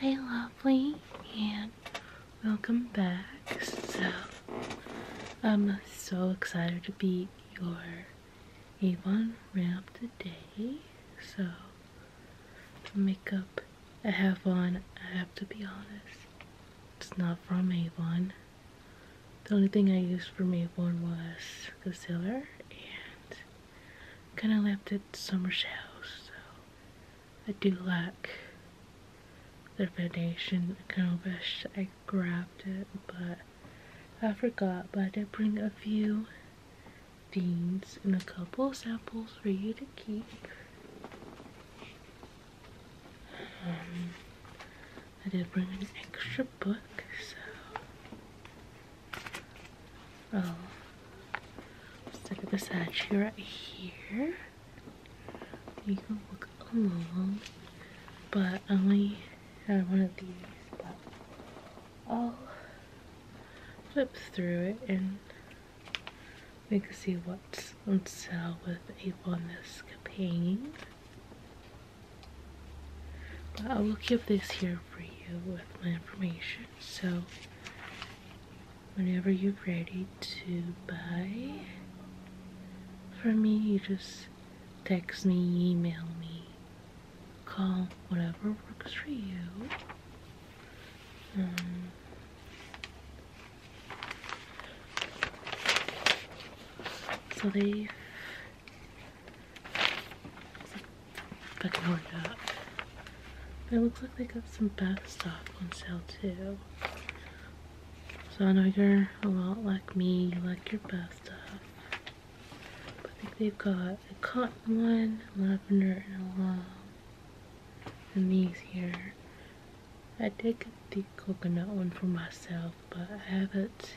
Hey, lovely, and welcome back. So, I'm so excited to be your Avon ramp today. So, makeup I have on, I have to be honest, it's not from Avon. The only thing I used from Avon was concealer and kind of left at Summer's house, so I do like the foundation kind of wish I grabbed it, but I forgot. But I did bring a few things and a couple samples for you to keep. Um, I did bring an extra book, so so let look at this edge right here. You can look along, but I only had one of these, but I'll flip through it and we can see what's on sale with April in this campaign. But I will keep this here for you with my information. So, whenever you're ready to buy from me, you just text me, email me, call, whatever works for you. Um, so they I can order that. it looks like they got some bath stuff on sale too. So I know you're a lot like me, you like your bath stuff. I think they've got a cotton one, lavender, and a love. And these here. I did get the coconut one for myself, but I haven't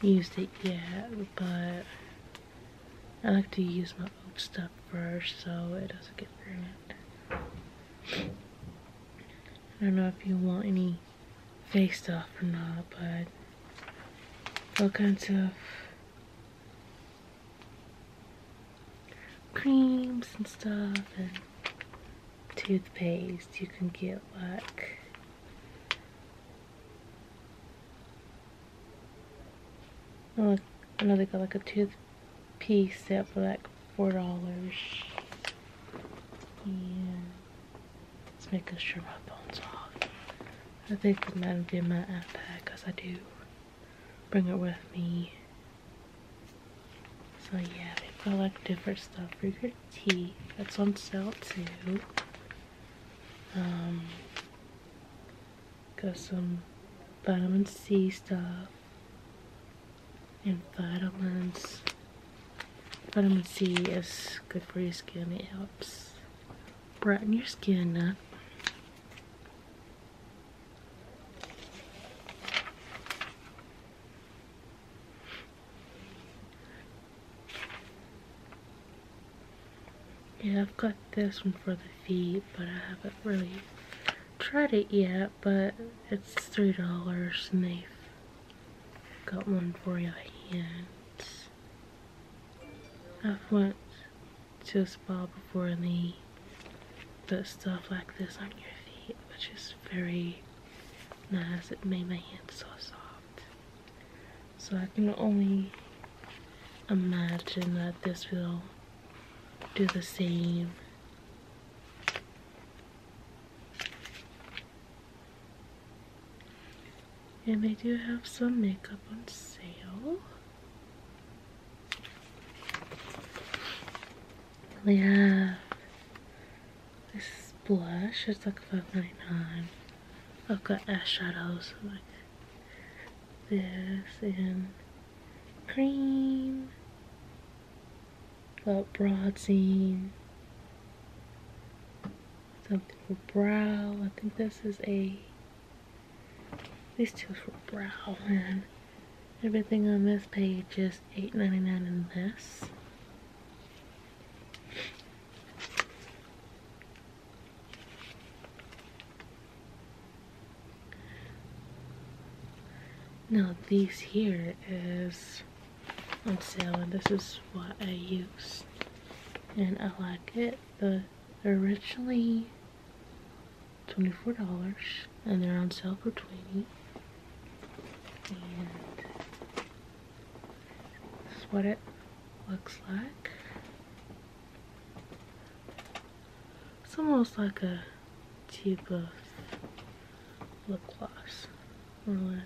used it yet. But I like to use my old stuff first so it doesn't get ruined. I don't know if you want any face stuff or not, but all kinds of creams and stuff and toothpaste you can get like Oh, I know they got like a toothpiece set for like four dollars. Yeah. Let's make sure my phone's off. I think it might be my iPad because I do bring it with me. So yeah, they've like different stuff for your teeth. That's on sale too. Um, got some vitamin C stuff and vitamins. Vitamin C is good for your skin. It helps brighten your skin up. Yeah, I've got this one for the feet, but I haven't really tried it yet, but it's $3 and they've got one for your hands. I've went to a spa before and they put stuff like this on your feet, which is very nice. It made my hands so soft. So I can only imagine that this will do the same and they do have some makeup on sale they have this blush it's like $5.99 I've got eyeshadows like this in cream, got broad seam, something for brow, I think this is a, these two for brow, and everything on this page is $8.99 in this. Now these here is on sale and this is what I used and I like it. The originally $24 and they're on sale for 20 and this is what it looks like it's almost like a tube of lip gloss, or less.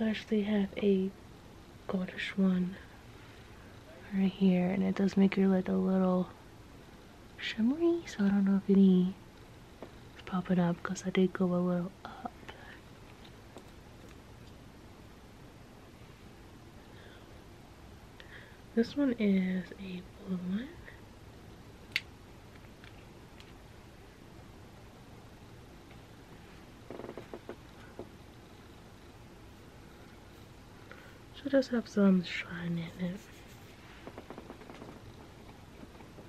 I actually have a goldish one right here, and it does make your lid a little shimmery, so I don't know if any is popping up because I did go a little up. This one is a blue one. Should just have some shine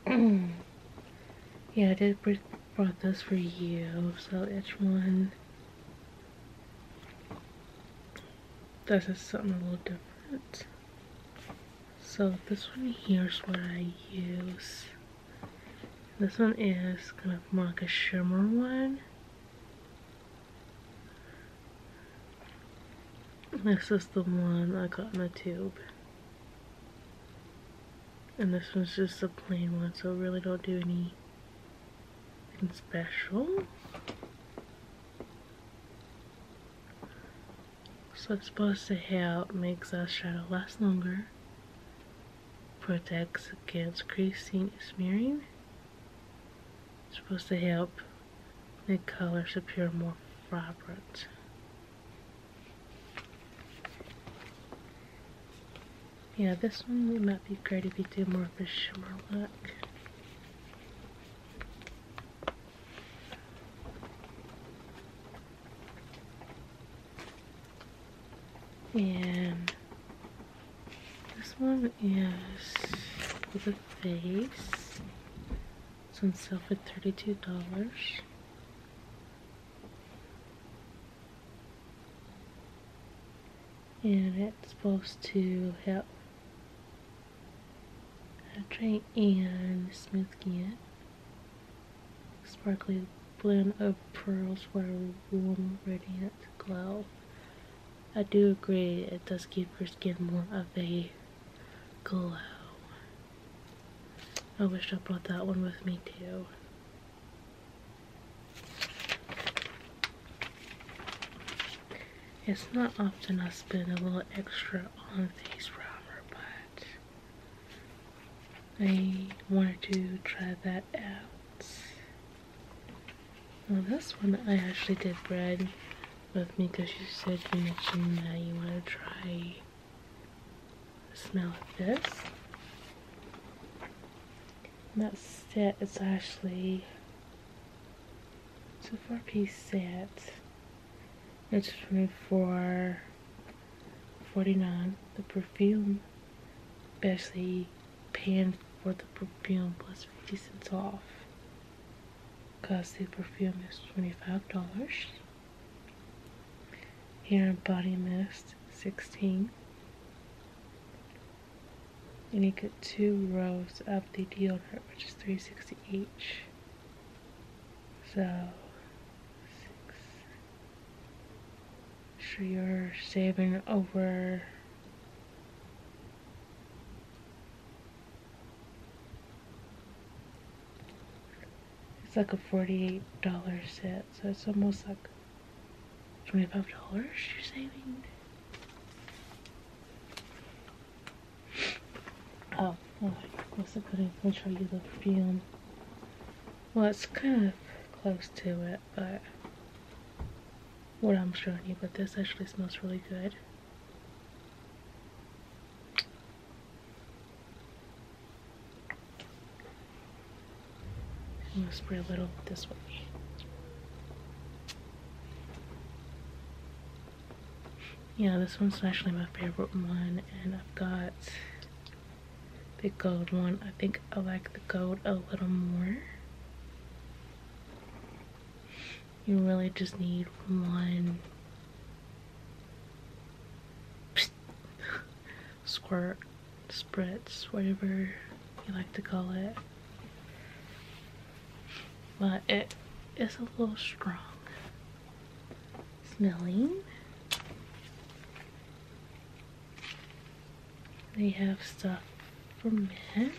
in it. yeah, I did brought this for you, so each one this is something a little different. So this one here's what I use. This one is kind of more like a shimmer one. This is the one I got in a tube. And this one's just a plain one, so really don't do any special. So it's supposed to help makes our shadow last longer, protects against creasing and smearing. It's supposed to help make colors appear more vibrant. Yeah, this one would not be great if you do more of a shimmer look. And this one is for the face. It's on sale for $32 and it's supposed to help hydrate and smooth skin Sparkling blend of pearls for a warm radiant glow I do agree it does give your skin more of a glow I wish I brought that one with me too it's not often I spend a little extra on these primer, but I wanted to try that out. this one I actually did bread with me because you said you mentioned that you want to try the smell of this. And that set is It's a four piece set. It's twenty-four. forty nine. The perfume actually paying for the perfume plus fifty cents off. Cause the perfume is twenty five dollars. Here, and body mist 16 and you get two rows of the deodorant which is 360 each so sure you're saving over it's like a $48 set so it's almost like $25 you're saving. Oh, well, I wasn't going to show you the film. Well, it's kind of close to it, but what I'm showing you, but this actually smells really good. I'm going to spray a little this way. Yeah, this one's actually my favorite one, and I've got the gold one. I think I like the gold a little more. You really just need one squirt, spritz, whatever you like to call it. But it is a little strong smelling. They have stuff for men.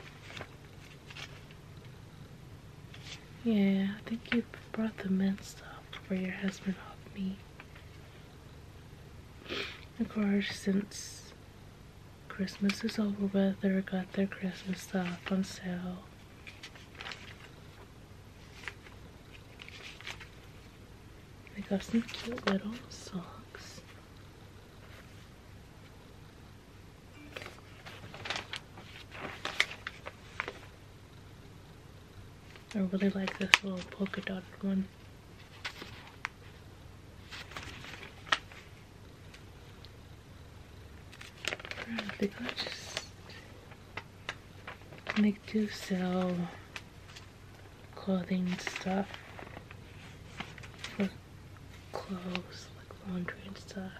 Yeah, I think you brought the men stuff for your husband off me. Of course, since Christmas is over but They are got their Christmas stuff on sale. They got some cute little socks. I really like this little polka dotted one. They could just make do sell clothing stuff clothes laundry and stuff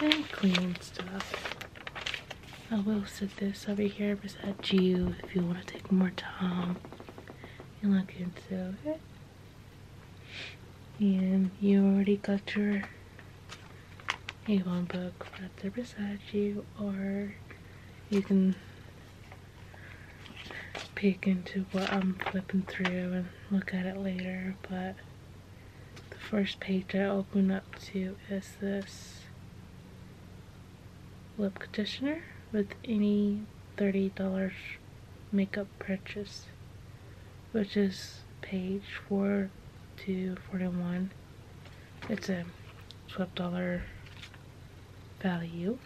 and cleaning stuff I will sit this over here beside you if you want to take more time and look into it. And you already got your Avon book right there beside you, or you can peek into what I'm flipping through and look at it later. But the first page I open up to is this lip conditioner with any $30 makeup purchase which is page 4 to 41 it's a $12 value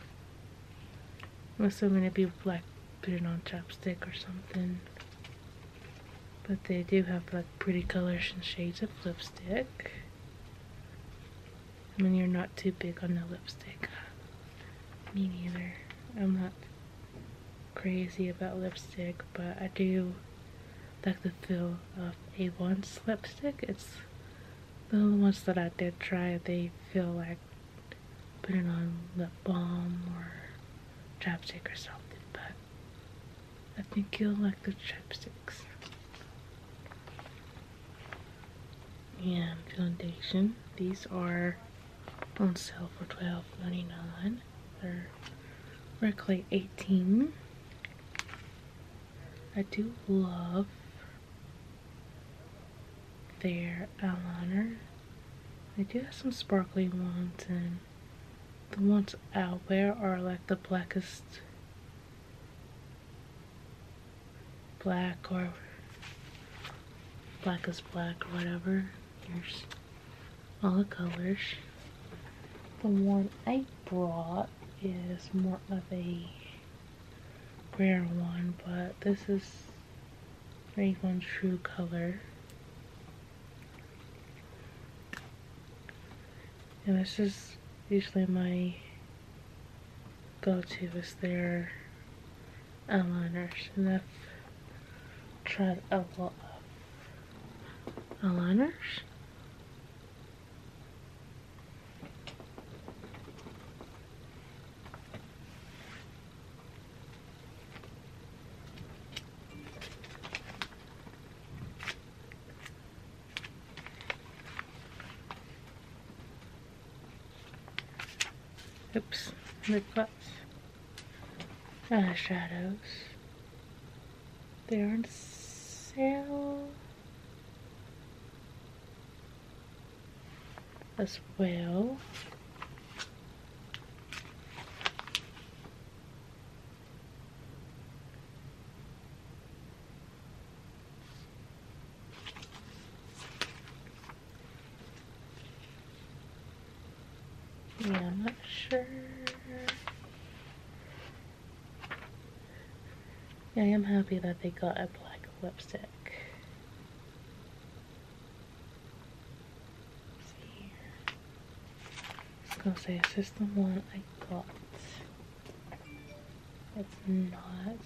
unless I'm gonna be black put it on chapstick or something but they do have like pretty colors and shades of lipstick I mean, you're not too big on the lipstick. Me neither. I'm not crazy about lipstick, but I do like the feel of a one lipstick. It's the ones that I did try, they feel like putting on lip balm or chapstick or something, but I think you'll like the chopsticks. And foundation. These are on sale for $12.99. They're Reclay 18. I do love their eyeliner. They do have some sparkly ones and the ones I wear are like the blackest black or black as black or whatever. There's all the colors. The one I brought is more of a rare one, but this is Franklin's true color. And this is usually my go-to is their eyeliners. And I've tried a lot of eyeliners. Oops, lip gloss. Eyeshadows. Uh, they are on sale. As well. Yeah, I'm not sure. Yeah, I am happy that they got a black lipstick. Let's see here. I is the one I got? It's not.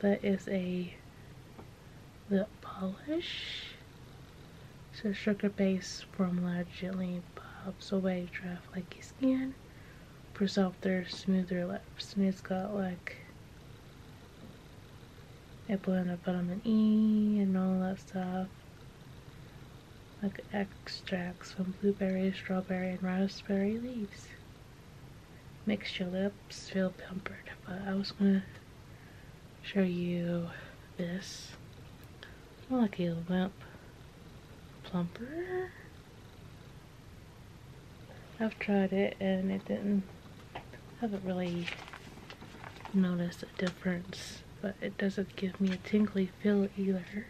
That is a lip polish. So sugar base formula gently pops away dry flaky skin for softer, smoother lips. And it's got like a blend of vitamin E and all that stuff like extracts from blueberry, strawberry, and raspberry leaves. Makes your lips feel pampered, but I was gonna show you this. More like a limp plumper. I've tried it and it didn't, I haven't really noticed a difference, but it doesn't give me a tingly feel either.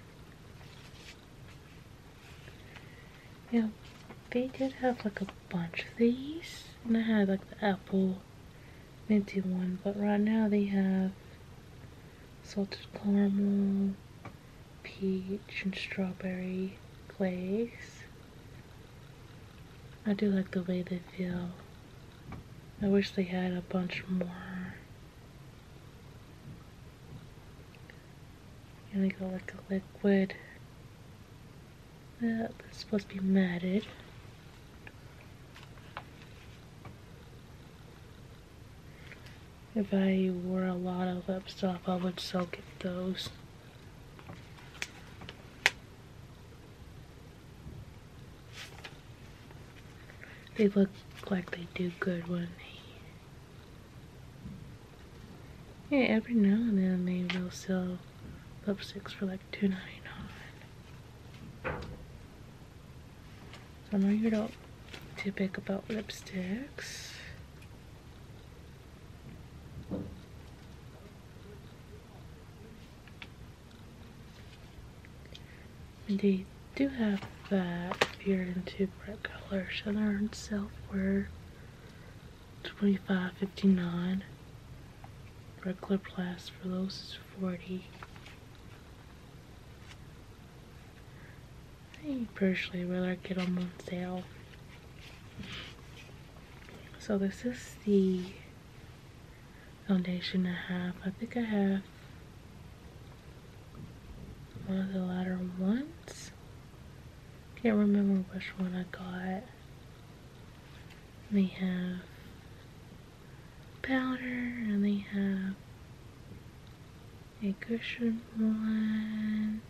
Yeah, they did have like a bunch of these. And I had like the apple minty one, but right now they have salted caramel, peach, and strawberry glaze. I do like the way they feel. I wish they had a bunch more i gonna go like the liquid. Uh, that's supposed to be matted. If I wore a lot of lip stuff, I would soak at those. They look like they do good when they. Yeah, every now and then they will sell lipsticks for like two ninety nine. So I'm here to too big about lipsticks. They do have that if you're into bright colors. So they're on 25 59 Regular plus for those is 40 I personally rather get them on sale. So this is the foundation I have. I think I have one of the latter ones. Can't remember which one I got. They have powder and they have a cushion one.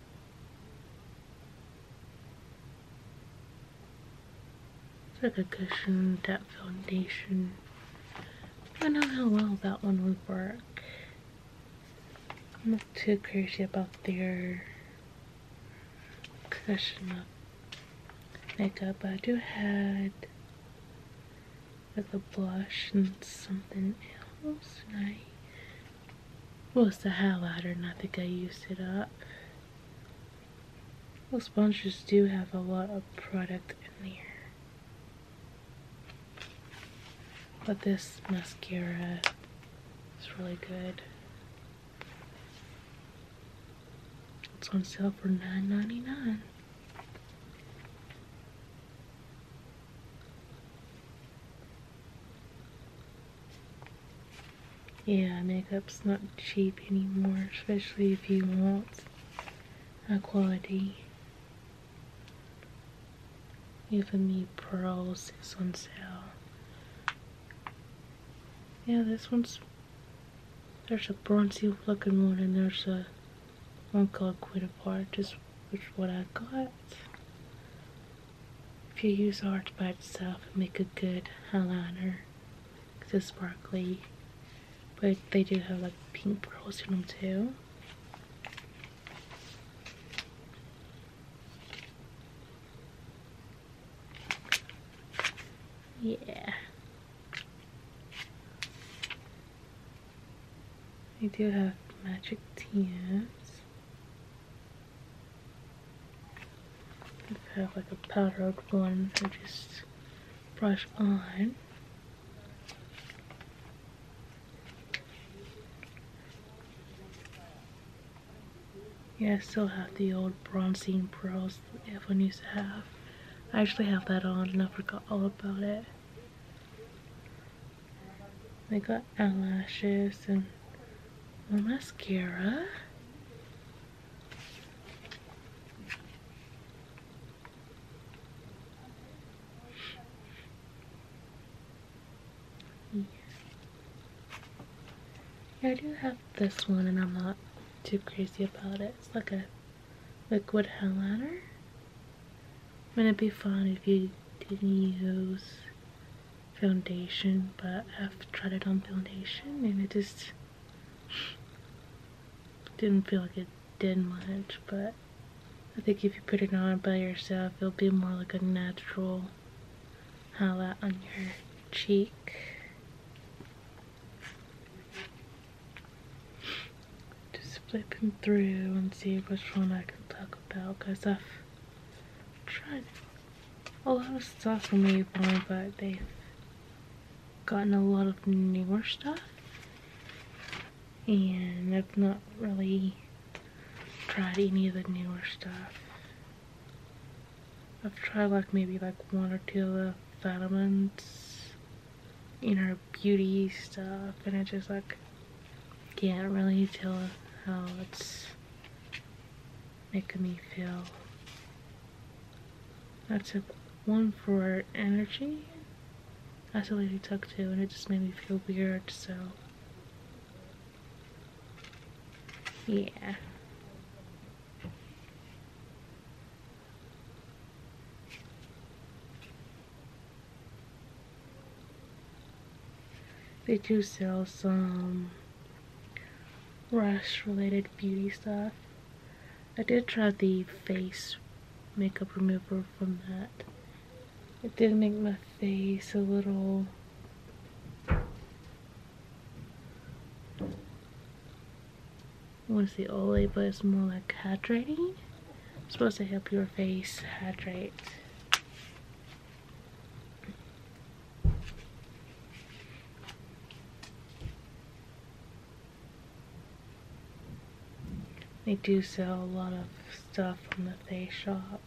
It's like a cushion, that foundation I know how well that one would work. I'm not too crazy about their cushion up makeup, I do had with a blush and something else, I well, it's the highlighter, and I think I used it up. Well, sponges do have a lot of product in there. But this mascara is really good. It's on sale for $9.99. Yeah, makeup's not cheap anymore, especially if you want high quality even Me pearls. 6 on sale. Yeah, this one's. There's a bronzy looking one, and there's a one called Quid Apart, just which what I got. If you use art by itself, make a good eyeliner. It's sparkly. But they do have like pink pearls in them too. Yeah. They do have magic tears. have like a powdered one to just brush on. Yeah, I still have the old bronzing pearls that everyone used to have. I actually have that on and I forgot all about it. I got eyelashes and more mascara. I do have this one and I'm not too crazy about it. It's like a liquid highlighter. I mean, it'd be fun if you didn't use foundation, but I've tried it on foundation and it just didn't feel like it did much, but I think if you put it on by yourself, it'll be more like a natural highlight on your cheek. Just flipping through and see which one I can talk about because I've tried a lot of stuff from Avon, but they've gotten a lot of newer stuff and I've not really tried any of the newer stuff. I've tried like maybe like one or two of the vitamins inner beauty stuff and I just like can't really tell how it's making me feel. That's a one for energy I saw Lady Tuck too, and it just made me feel weird, so. Yeah. They do sell some Rush related beauty stuff. I did try the face makeup remover from that it did make my face a little I want to say ole, but it's more like hydrating. It's supposed to help your face hydrate. They do sell a lot of stuff from the They shop.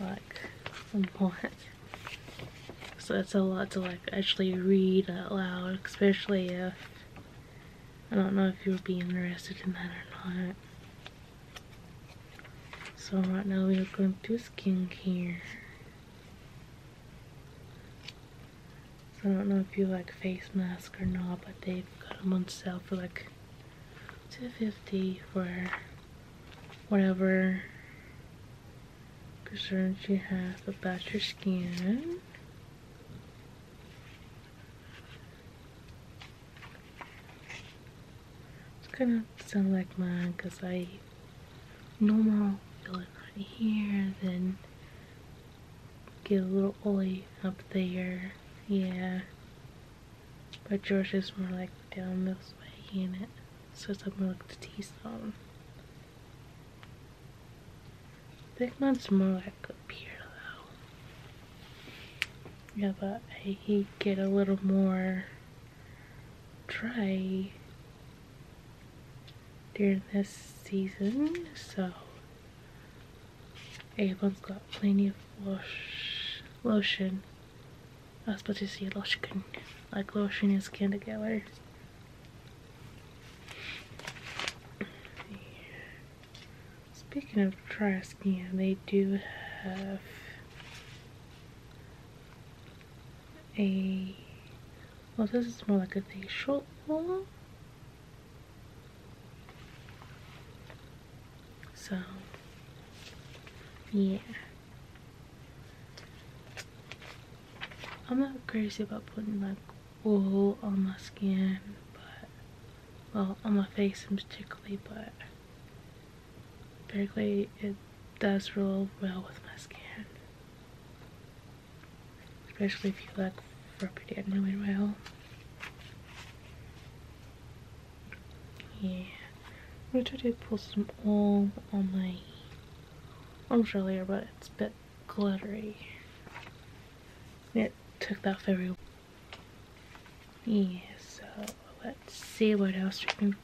Like, some what? So that's a lot to like actually read out loud, especially if I don't know if you will be interested in that or not. So right now we are going through skincare. So I don't know if you like face mask or not, but they've got them on sale for like 250 for whatever concerns you have about your skin. It's kind of sound like mine because I normal fill it right here, then Get a little oily up there. Yeah. But George is more like down this way in it. So it's up more like the T-zone. Big one's more like up here though. Yeah, but I, he get a little more dry during this season, so everyone's got plenty of lotion. I was supposed to say lotion, like lotion and skin together. Speaking of dry skin, they do have a well, this is more like a facial So, yeah. I'm not crazy about putting like oil on my skin, but, well, on my face in particularly, but basically, it does roll well with my skin especially if you like rubbing it really well. Yeah, I'm gonna try to pull some oil on my arms earlier, but it's a bit glittery. Yeah, took that very well. Yeah, so let's see what else we can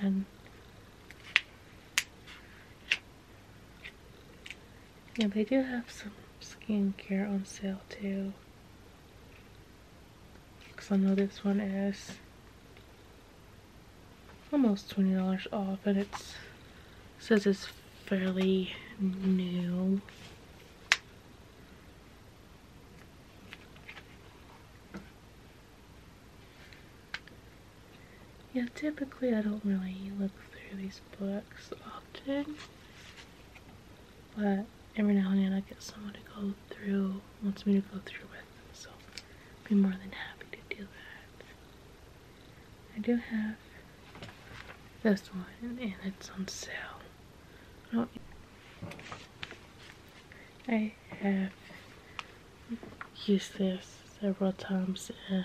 find. Yeah, they do have some skincare on sale too. Because I know this one is almost $20 off and it says it's fairly new. Yeah, typically I don't really look through these books often, but every now and then I get someone to go through, wants me to go through with, them, so I'd be more than happy to do that. I do have this one, and it's on sale. Oh. I have used this several times, and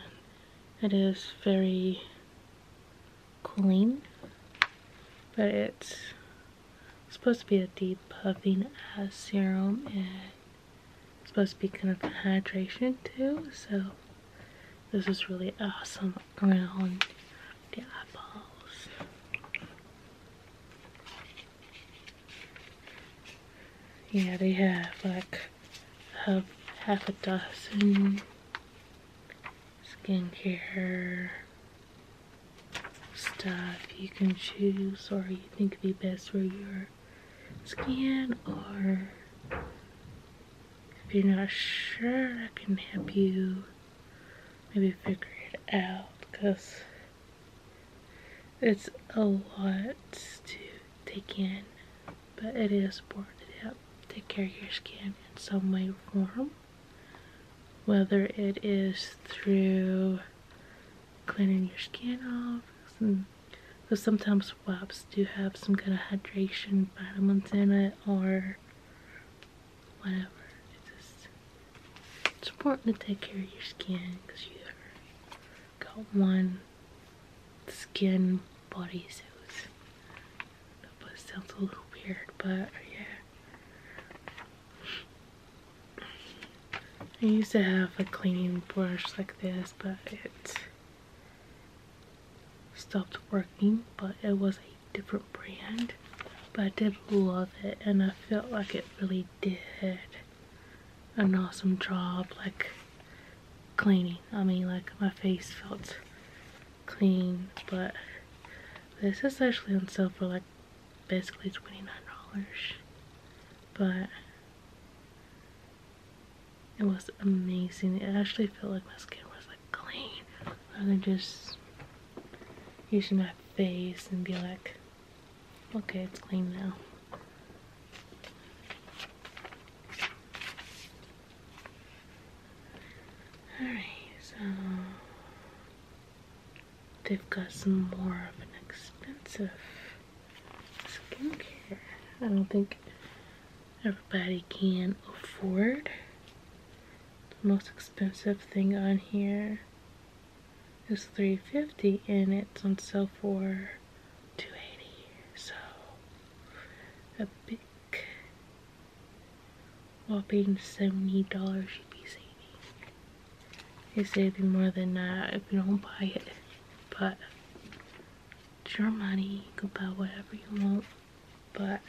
it is very clean, but it's supposed to be a deep puffing as serum and it's supposed to be kind of hydration too, so this is really awesome around the eyeballs. Yeah, they have like have half a dozen skincare stuff you can choose or you think be best for your skin or if you're not sure I can help you maybe figure it out because it's a lot to they can, but it is important to take care of your skin in some way form. Whether it is through cleaning your skin off, some, so sometimes wipes do have some kind of hydration vitamins in it or whatever. It's, just, it's important to take care of your skin because you got one skin bodysuits. That sounds a little weird, but yeah. I used to have a cleaning brush like this, but it stopped working, but it was a different brand. But I did love it, and I felt like it really did an awesome job. Like, cleaning. I mean, like, my face felt clean, but this is actually on sale for, like, basically $29. But it was amazing. It actually felt like my skin was, like, clean. Rather than just using my face and be like, okay, it's clean now. Alright, so they've got some more of an expensive skincare. I don't think everybody can afford the most expensive thing on here is 350 and it's on sale for 280 so a big whopping $70 you'd be saving you're saving more than if you don't buy it but it's your money you can buy whatever you want but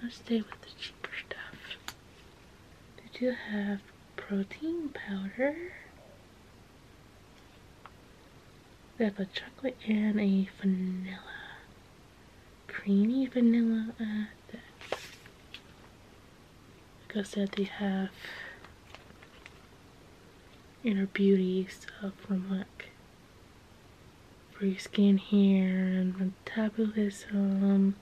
let's stay with the cheaper stuff Did you have protein powder we have a chocolate and a vanilla. Creamy vanilla at uh, that. Like I said, they have inner beauty stuff from like free skin hair and metabolism.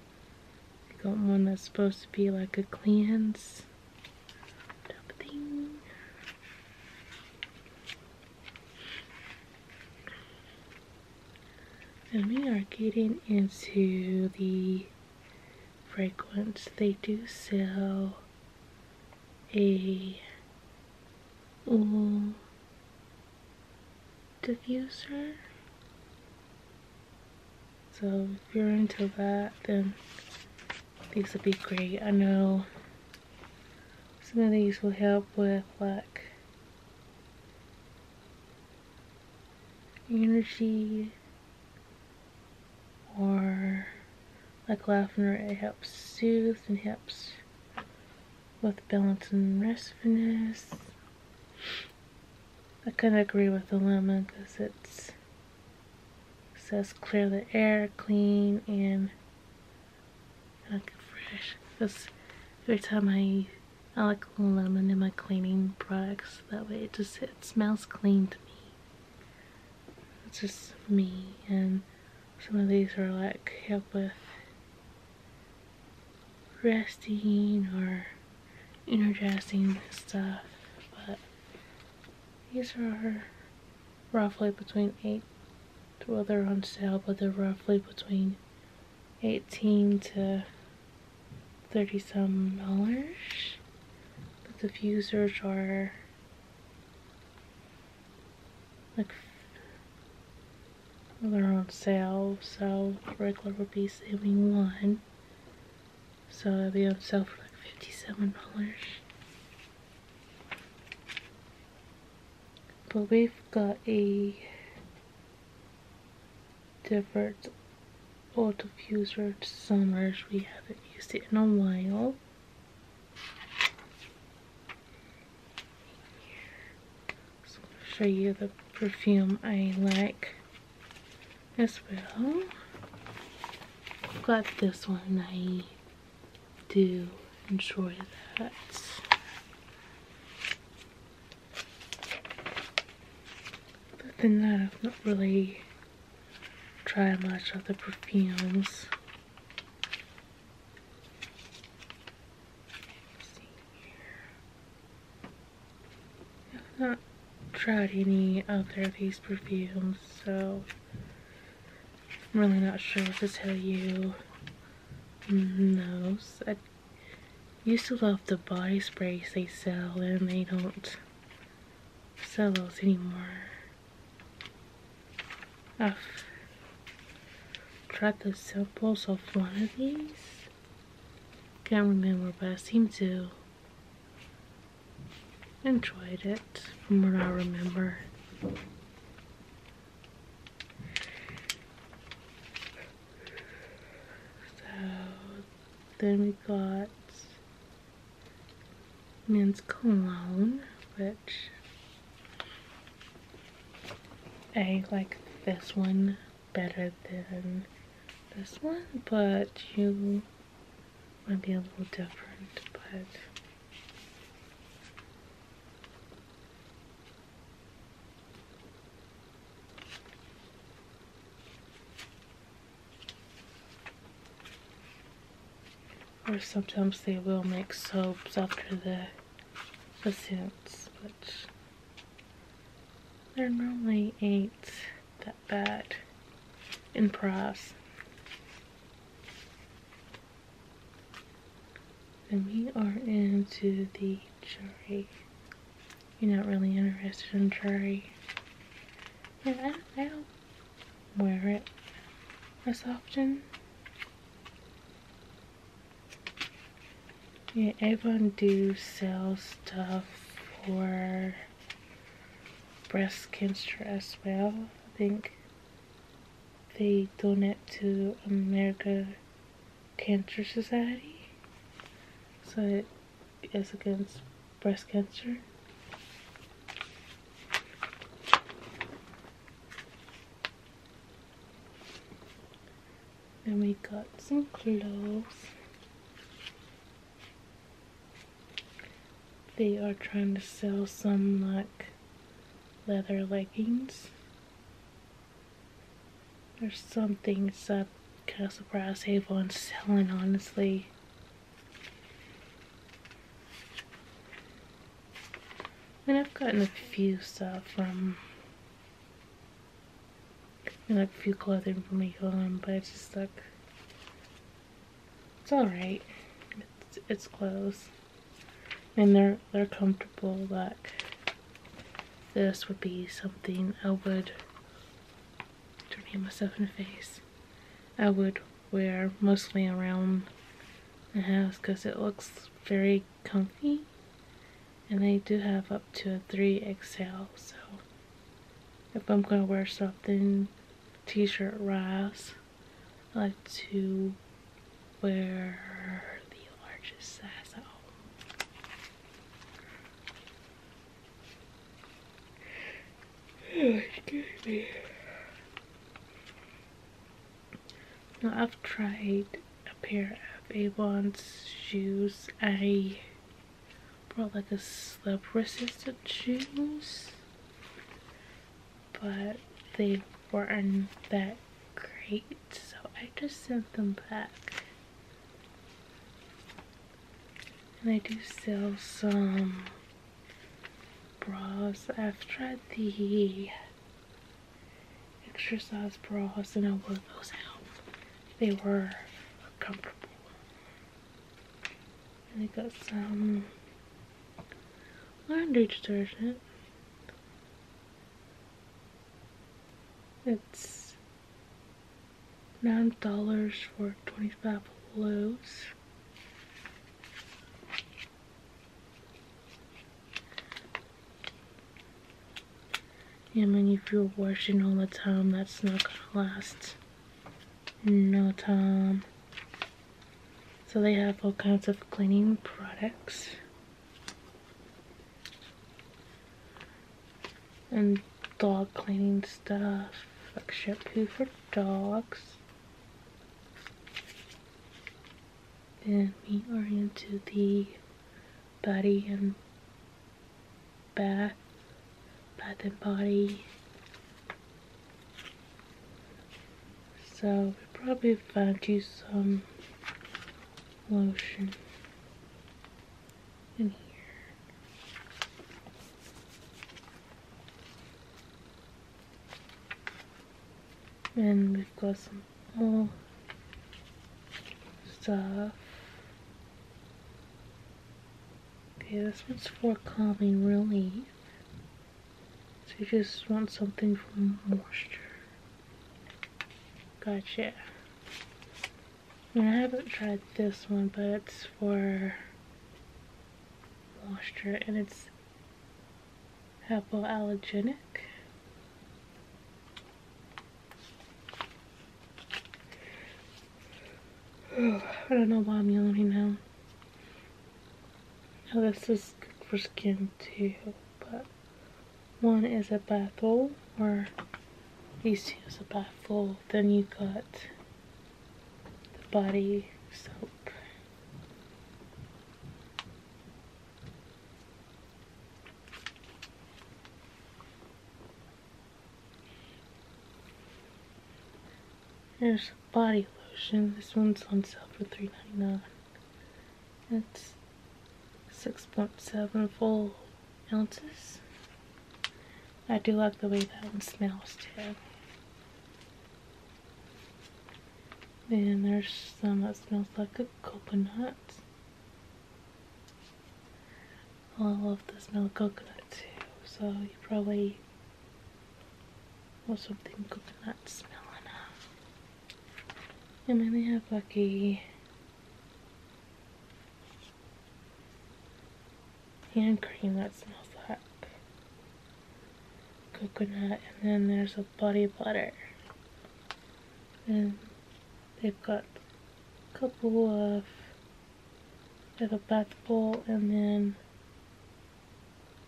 I got one that's supposed to be like a cleanse. And we are getting into the fragrance. They do sell a diffuser. So if you're into that, then these would be great. I know some of these will help with like energy or like laughter. it helps soothe and helps with balance and restfulness I kind of agree with the lemon because it's it says clear the air, clean, and look fresh. Because every time I, I like lemon in my cleaning products, that way it just it smells clean to me. It's just me, and some of these are like help with resting or energizing stuff, but these are roughly between 8 well they're on sale but they're roughly between 18 to 30 some dollars but the diffusers are like they're on sale so regular would be saving one. So i will be on sale for like $57. But we've got a different oil diffuser to Summers. We haven't used it in a while. show you the perfume I like as well. I've got this one. I do enjoy that. But than that, I've not really tried much of the perfumes. I've not tried any other of these perfumes, so I'm really not sure what to tell you No, I used to love the body sprays they sell and they don't sell those anymore. I've tried the samples of one of these. Can't remember but I seem to enjoyed it from what I remember. So then we got men's cologne, which I like this one better than this one, but you might be a little different, but or sometimes they will make soaps after the the scents, which they normally ain't that bad in price. And we are into the jury. You're not really interested in jury. Yeah, I don't, I wear it as often. Yeah, everyone do sell stuff for breast cancer as well. I think they donate to America Cancer Society. So it is against breast cancer. And we got some clothes. They are trying to sell some like leather leggings There's something. So I'm kind of surprised Avon's selling, honestly. And I've gotten a few stuff from like a few clothing from Avon, but it's just like it's alright. It's, it's clothes. And they're, they're comfortable. Like, this would be something I would, turn not hit myself in the face, I would wear mostly around the house because it looks very comfy. And they do have up to a 3XL, so if I'm going to wear something, t-shirt rise, I like to wear the largest size at oh. home. Oh, excuse me. Now I've tried a pair of Avon's shoes. I brought like a slip resistant shoes but they weren't that great, so I just sent them back. And I do sell some bras. I've tried the extra size bras and I wore those out. They were comfortable. And I got some laundry detergent. It's nine dollars for twenty-five loads. I mean, if you're washing all the time, that's not gonna last no time. So they have all kinds of cleaning products. And dog cleaning stuff, like shampoo for dogs. And we are into the body and bath, bath and body so, we probably find you some lotion in here. And we've got some more stuff. Okay, this one's for calming relief. So you just want something for moisture. Gotcha. And I haven't tried this one, but it's for moisture and it's hypoallergenic. I don't know why I'm yelling now. Now this is good for skin too, but one is a bath roll, or these two is a bath roll. Then you got the body soap. Here's body lotion. This one's on sale for $3.99. It's six point seven four ounces. I do like the way that one smells too. Then there's some that smells like a coconut. I love the smell of coconut too, so you probably or something coconut smell on her. And then they have lucky hand cream that smells like coconut and then there's a body butter. And they've got a couple of they have a bath bowl and then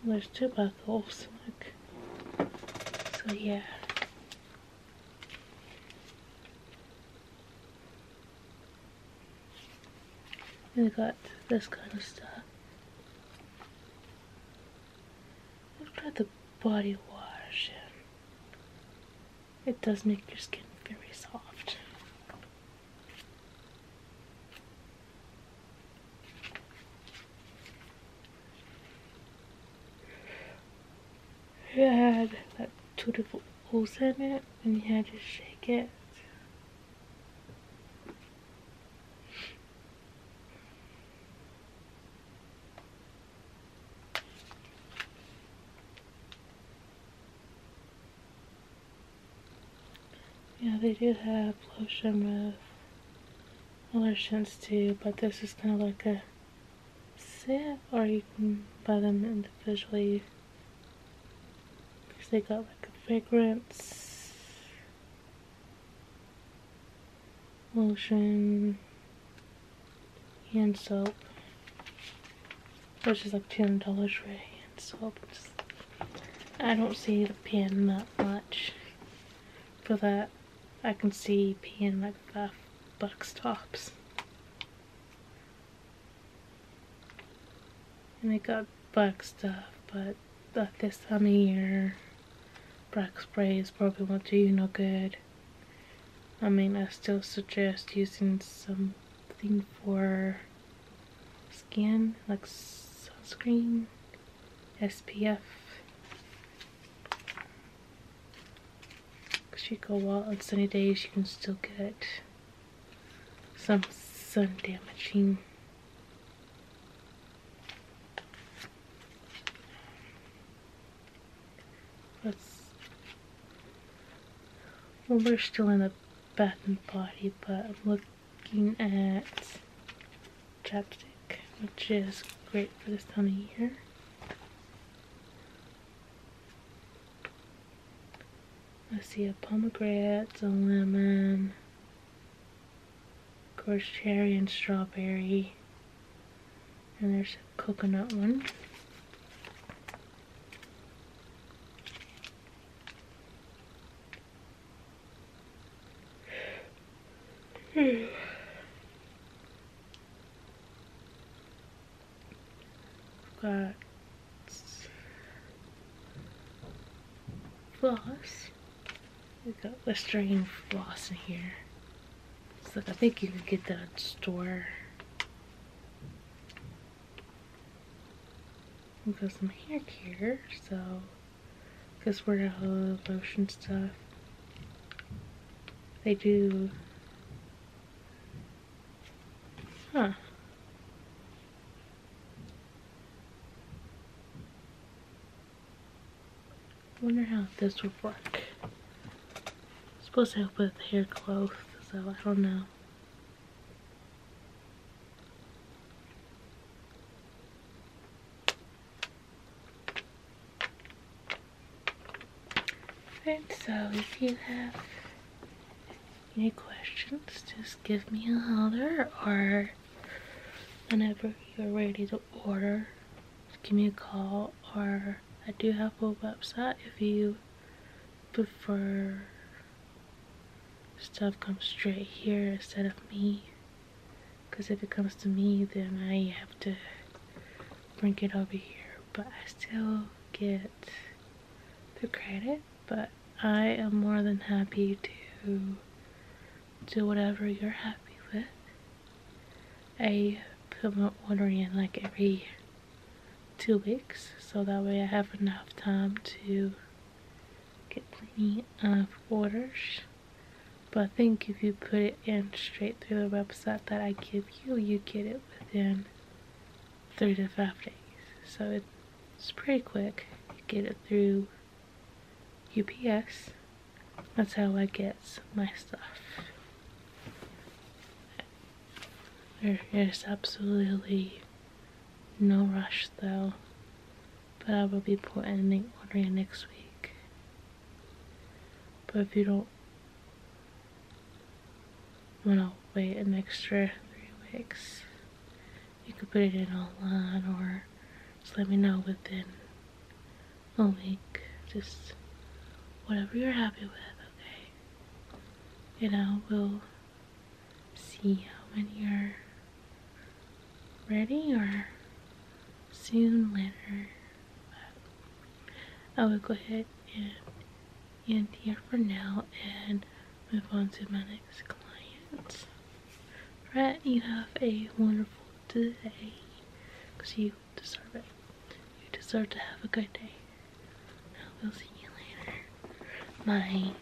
there's tobacco's look. So yeah. We got this kind of stuff. Look at the body wash. It does make your skin very soft. It had like two different holes in it and you had to shake it. Yeah, they do have lotion with lotions too, but this is kind of like a set, or you can buy them individually because they got like a fragrance, lotion, hand soap, which is like $200 for hand soap. I don't see the pen that much for that. I can see pen like five bucks tops. And they got black stuff, but at this time of year, black spray is probably won't do you no good. I mean, I still suggest using something for skin, like sunscreen, SPF. Cause you go out on sunny days, you can still get some sun damaging. Let's. Well, we're still in the bath and body, but look looking at chapstick, which is great for this time of year. I see a pomegranate, a lemon, of course cherry and strawberry, and there's a coconut one. Hmm. We've Got floss. We got Listerine floss in here. So I think you can get that at the store. We've got some hair care, so because we're out of lotion stuff. They do. Huh. wonder how this would work. supposed to help with hair growth, so I don't know. Alright, so if you have any questions, just give me a holler or whenever you're ready to order, give me a call or I do have a website if you prefer stuff comes straight here instead of me because if it comes to me then I have to bring it over here but I still get the credit but I am more than happy to do whatever you're happy with I put my order in like every two weeks so that way I have enough time to get plenty of orders but I think if you put it in straight through the website that I give you you get it within three to five days so it's pretty quick you get it through UPS that's how I get my stuff there is absolutely no rush though but I will be putting an order in next week. But if you don't want to wait an extra three weeks, you can put it in online or just let me know within a week. Just whatever you're happy with, okay? And I will see how many are ready or soon later. I will go ahead and end here for now and move on to my next client. Right, you have a wonderful day because you deserve it. You deserve to have a good day. we will see you later. Bye.